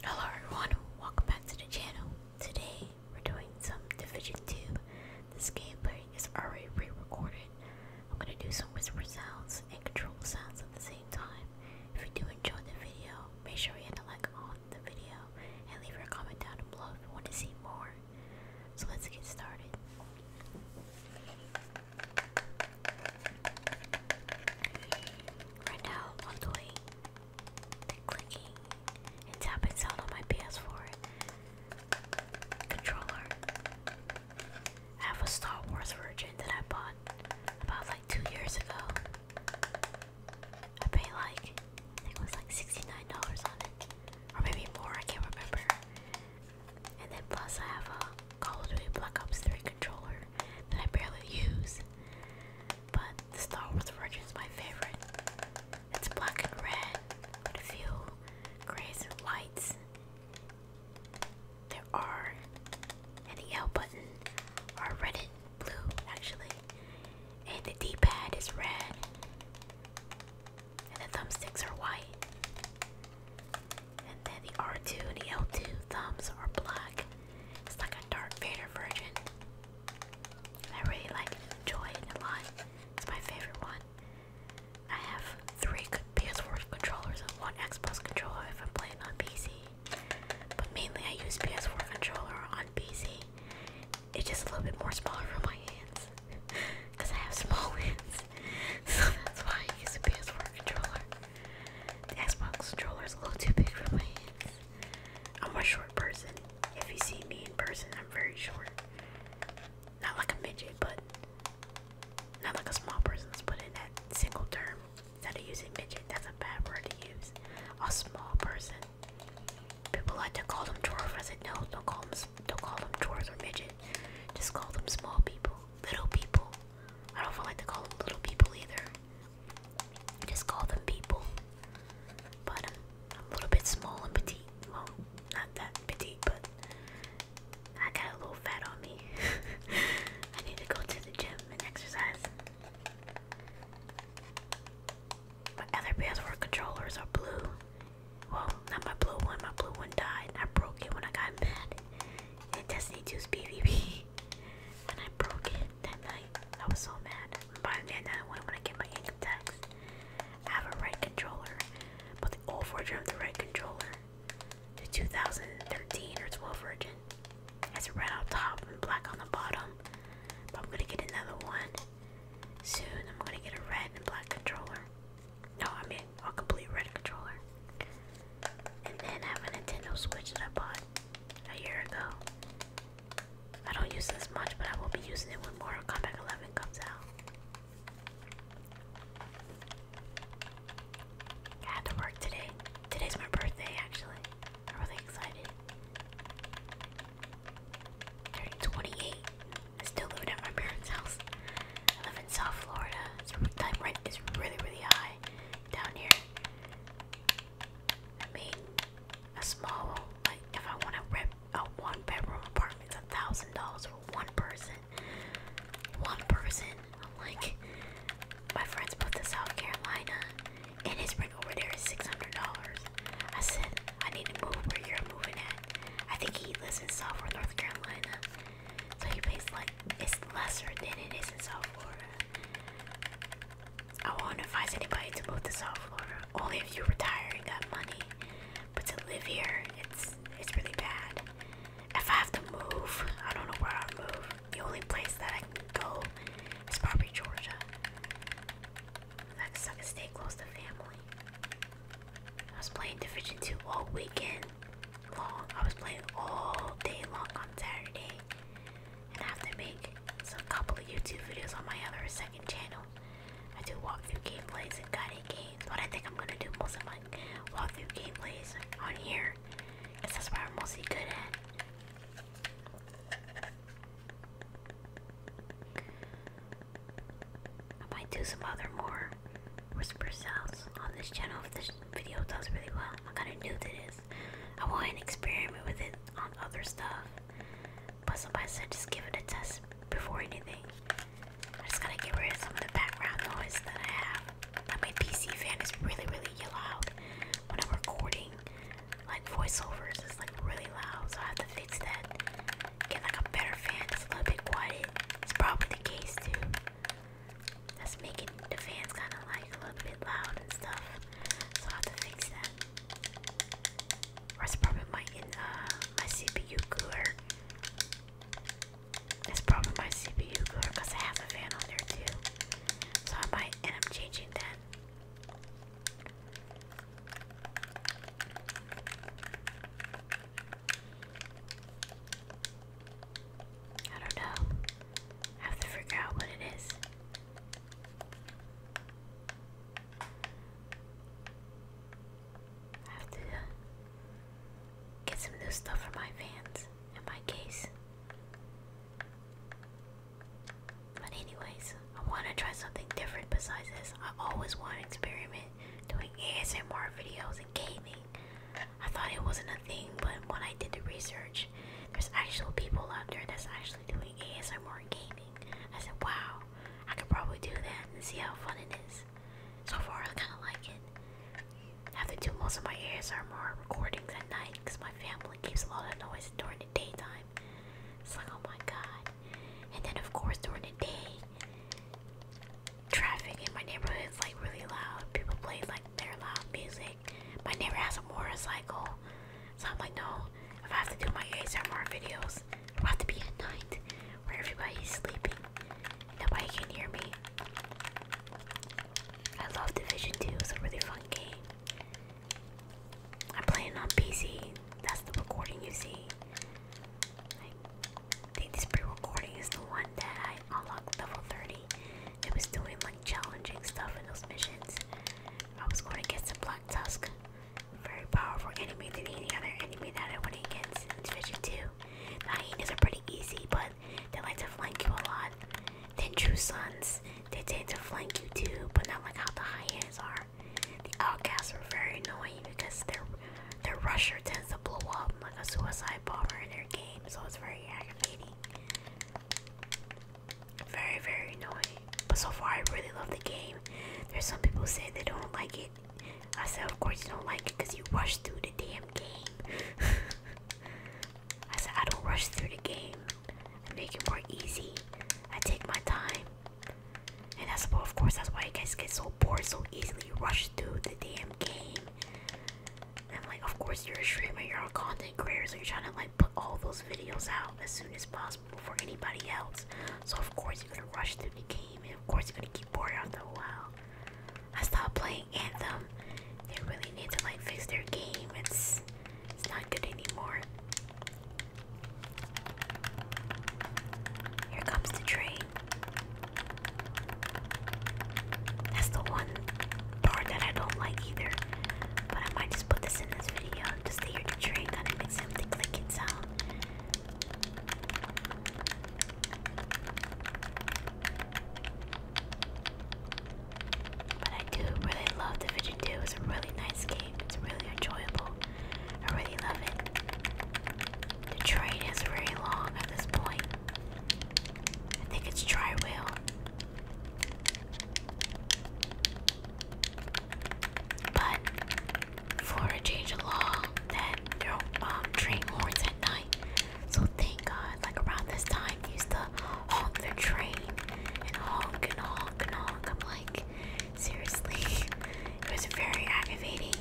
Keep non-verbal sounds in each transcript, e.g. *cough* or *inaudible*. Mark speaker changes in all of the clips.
Speaker 1: Hello everyone, welcome back to the channel. Today we're doing some Division 2. This gameplay is already pre-recorded. I'm gonna do some whisper sounds and control sounds at the same time. If you do enjoy the video, make sure you hit the like on the video and leave your comment down below if you want to see more. So let's get started. Right now I'm doing the clicking and tapping sound on my PS4 controller. I have a Star Wars version that I bought about like two years ago. I paid like, I think it was like $69 on it. Or maybe more, I can't remember. And then plus I have a Call of Duty Black Ops 3 controller that I barely use. But the Star Wars version is my favorite. It's black and red with a few grays and lights. There are, and the L button are red and blue actually. And the D-pad is red. And the thumbsticks are white. And then the R2 and the L2 thumbs are black. It's like a Dark Vader version. I really like it and enjoy it a lot. It's my favorite one. I have three PS4 controllers and one Xbox controller if I'm playing on PC. But mainly I use PS4 controller on PC. It's just a little bit more smaller for my hands. Because *laughs* I have small *laughs* hands. *laughs* So that's why I use a PS4 controller. The Xbox controller is a little too big for my hands. I'm a short person. If you see me in person, I'm very short. Not like a midget, but not like a small person. Let's put in that single term. Instead of using midget, that's a bad word to use. A small person. People like to call them dwarf. I said no, don't call them don't call them dwarves or midget. Just call them small people, little people. I don't feel like to call them little people either. I just call them people. But I'm, a little bit small and petite. Well, not that petite, but I got a little fat on me. *laughs* I need to go to the gym and exercise. My other ps controllers are blue. Well, not my blue one. My blue one died. I broke it when I got mad. And Destiny 2's PvP and I broke it that night. I was so mad. Buying me another one when I get my income tax. I have a right controller, but the old version of the right controller, the 2013 or 12 version, has red on top and black on the bottom. But I'm gonna get another one soon. I'm gonna get a red and black controller. No, I mean a complete red controller and then I have a Nintendo Switch that I bought a year ago. I don't use this much, but I will be using it when Mortal 11 comes out. had to work today. Today's my birthday, actually. I'm really excited. Turning 28. I still live at my parents' house. I live in South Florida. It's time rent is really, really high down here. I mean, a small, like if I want to rent a one bedroom apartment, it's a thousand dollars for one person. One person. I'm like, my friends moved to South Carolina, and his rent over there is six hundred dollars. I said, I need to move where you're moving at. I think he lives in South or North Carolina. So he pays like it's lesser than it is in South Florida. I won't advise anybody to move to South Florida. Only if you retire and got money. But to live here, it's it's really bad. If I have to move, I don't know where I will move. The only place that I can go is probably Georgia. I can stay close to family. I was playing Division 2 all weekend long. I was playing all day long on Saturday, and have to make some couple of YouTube videos on my other second channel. I do walkthrough gameplays and guided games, What I think I'm gonna do most of my walkthrough gameplays on here, because that's what I'm mostly good at. I might do some other more whisper sounds on this channel video does really well. I'm kind of new to this. I want to experiment with it on other stuff. But somebody said just give it a test before anything. I just gotta get rid of some of the background noise that I have. Like my PC fan is really, really loud when I'm recording. Like voiceovers is like really loud, so I have to fix that. Get like a better fan that's a little bit quiet. It's probably the case too. That's making the fans kind of like a little bit loud and stuff. So I have to fix that. Or it's probably my uh my CPU cooler. It's probably my CPU cooler because I have a fan on there too. So I might end up changing that. I don't know. have to figure out what it is. have to uh, get some new stuff for my fans and my case. But anyways, I want to try something different besides this. I always want to experiment doing ASMR videos and gaming. I thought it wasn't a thing, but when I did the research, there's actual people out there that's actually doing ASMR gaming. I said, wow, I could probably do that and see how fun it is. So far, I kind of like it. I have to do most of my ASMR recordings at night because my family keeps a lot of noise during the daytime. It's like, oh my god. And then, of course, during the day, traffic in my neighborhood is like really loud. People play like their loud music. My neighbor has a motorcycle. So I'm like, no, if I have to do my ASMR videos, it'll have to be at night where everybody's sleeping. Nobody can hear me. I love Division 2, it's a really fun game. I'm playing on PC. That's the recording you see. I I think this pre-recording is the one that I unlocked level 30. It was doing like challenging stuff in those missions. I was going to get some Black Tusk, very powerful enemy than any other enemy that I went get in Division 2. The hyenas are pretty easy, but they like to flank you a lot. Then True Sons, they tend to flank you too, but not like how the hyenas are. The outcasts are very annoying because they're their rusher tends to blow up like a suicide bomber in their game, so it's very aggravating. Very, very annoying. But so far, I really love the game. There's some people say they don't like it. I said, of course you don't like it because you rush through the damn game. *laughs* I said, I don't rush through the game. I make it more easy. I take my time. And that's well, of course, that's why you guys get so bored so easily. rush through the damn game. And like, of course, you're a streamer, you're a content creator, so you're trying to like put all those videos out as soon as possible before anybody else. So of course, you're gonna rush through the game, and of course, you're gonna get bored after a while. I stopped playing Anthem. They really need to like fix their game. It's it's not good anymore. Here comes the train. That's the one part that I don't like either. But I might just put this in this video just to hear the train kind of make something clicking sound. But I do really love the Vision 2. was a really nice game. It's really enjoyable. I really love it. The train is very long at this point. I think it's tri wheel. But Florida changed the law that there are um, train horns at night. So thank God, like around this time, used to honk the train and honk and honk and honk. I'm like, Seriously, it was very aggravating.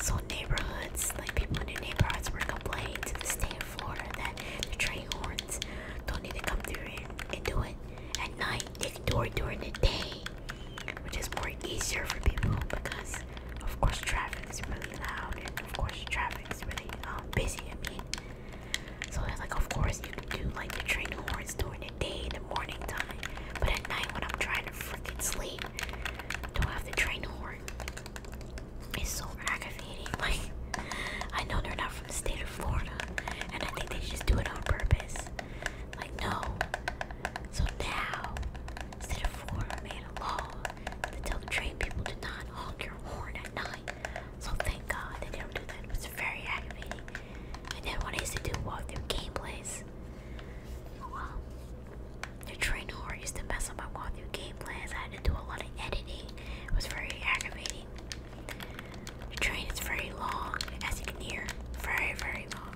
Speaker 1: So neighborhoods, like people in the neighborhoods were complaining to the state of Florida that the train horns don't need to come through and, and do it at night. They can do it during the day, which is more easier for people because, of course, traffic is really loud and of course traffic is really um, busy. I mean, so it's like, of course, you can do like the train horns during the day in the morning time, but at night when I'm trying to freaking sleep, do I have to train horn? It's so aggravating. *laughs* Like, I know they're not from the state of Florida, and I think they just do it on purpose. Like, no. So now, instead of Florida made a law to tell the train people to not honk your horn at night. So thank God they don't do that. It was very aggravating. And then what I used to do walk through gameplays, the train horn used to mess up my walkthrough game I had to do a lot of editing. It was very aggravating. The train is very long, as you can hear. Very, very long.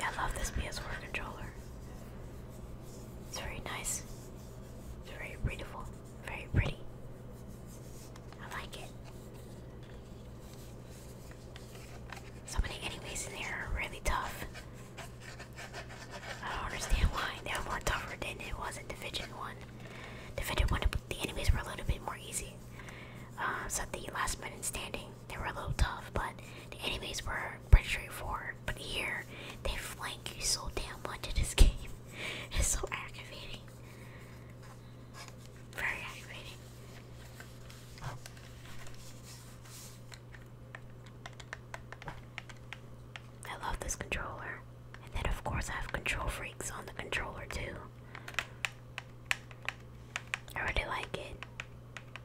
Speaker 1: I love this PS4 controller. It's very nice. It's very beautiful. Very pretty. I like it. So many enemies in here are really tough. I don't understand why they were more tougher than it was in fidget 1. The fidget 1, the enemies were a little bit more easy. Uh, so the last man standing they were a little tough, but the enemies were pretty straightforward. But here, they flank you so damn much in this *laughs* game. It's so aggravating. Very aggravating. I love this controller. And then, of course, I have control freaks on the controller, too. I really like it.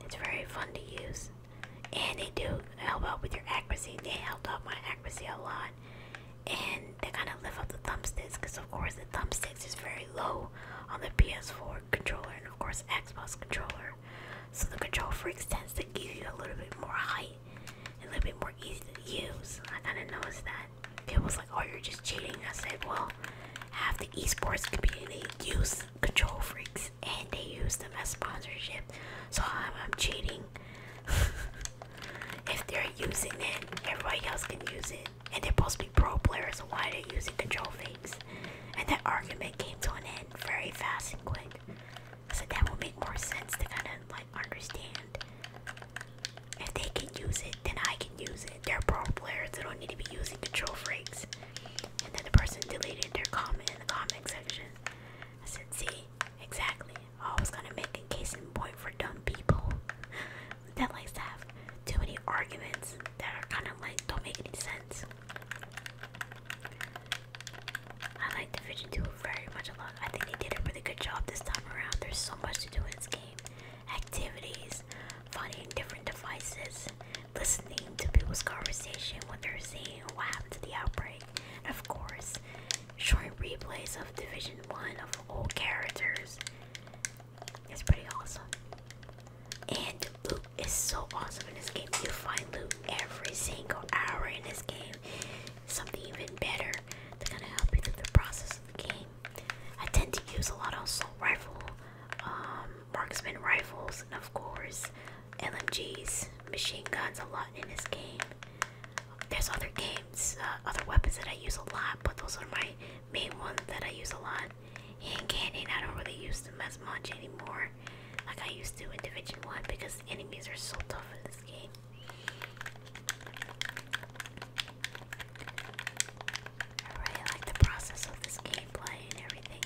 Speaker 1: It's very fun to use and they do help out with your accuracy. They helped out my accuracy a lot, and they kind of lift up the thumbsticks because, of course, the thumbsticks is very low on the PS4 controller and, of course, Xbox controller. So the controller freaks tends to give you a little bit more height and a little bit more easy to use. I kind of noticed that people was like, "Oh, you're just cheating." I said, "Well, half the esports community use control freaks and they use them as sponsorship. So I'm, i cheating. *laughs* if they're using it, everybody else can use it. And they're supposed to be pro players, so why are they using control freaks? And that argument came to an end very fast and quick. So that would make more sense to kind of like understand. If they can use it, then I can use it. They're pro players, they don't need to be using control freaks and then the person deleted their comment in the comment section. I said, see, exactly. I was gonna make a case in point for dumb people *laughs* that likes to have too many arguments that are kind of like don't make any sense. I like the vision 2 very much a lot. I think they did a really good job this time around. There's so much to do in this game. Activities, finding different devices, listening to people's conversation, what they're saying, what happened to the outbreak, of course, short replays of Division 1 of old characters. It's pretty awesome. And loot is so awesome in this game. You find loot every single hour in this game. Something even better to kind of help you through the process of the game. I tend to use a lot of assault rifle um, marksman rifles, and of course, LMGs, machine guns, a lot in this game. There's other games, uh, other weapons that I use a lot, but those are my main ones that I use a lot. Hand cannon, I don't really use them as much anymore, like I used to in Division 1 because enemies are so tough in this game. I really like the process of this game gameplay everything.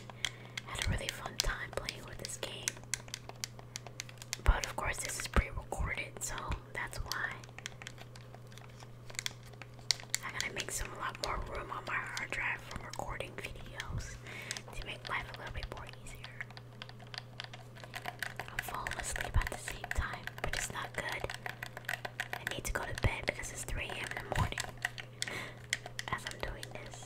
Speaker 1: Had a really fun time playing with this game. But of course, this is pre recorded, so that's why. I gotta make some a lot more room on my hard drive for recording videos to make life a little bit more easier. I'm asleep at the same time, but it's not good. I need to go to bed because it's 3 a.m. in the morning as I'm doing this.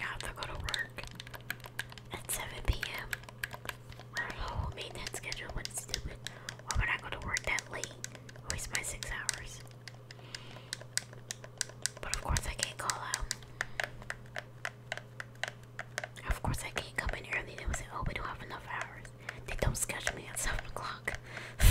Speaker 1: I have to go to work at 7 p.m. I made that schedule, but it's stupid. Why would I go to work that late? Waste my six hours. But of course I can't call out. Of course I can't come in early. They would say, oh, we don't have enough hours. They don't schedule me at 7 o'clock. *laughs*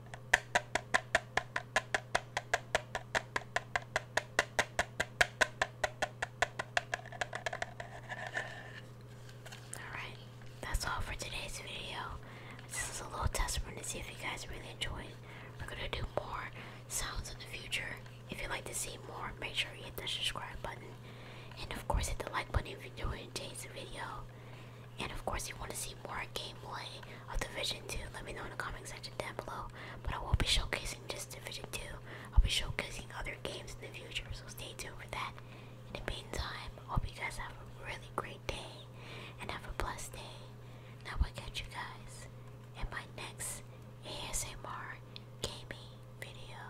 Speaker 1: Alright, that's all for today's video. This is a little test run to see if you guys really enjoyed. We're gonna do more sounds in the future. If you'd like to see more, make sure you hit the subscribe button. And of course hit the like button if you enjoyed today's video. And of course, you want to see more gameplay of Division 2, let me know in the comment section down below. But I won't be showcasing just Division 2, I'll be showcasing other games in the future, so stay tuned for that. In the meantime, hope you guys have a really great day and have a blessed day. Now I'll catch you guys in my next ASMR gaming video.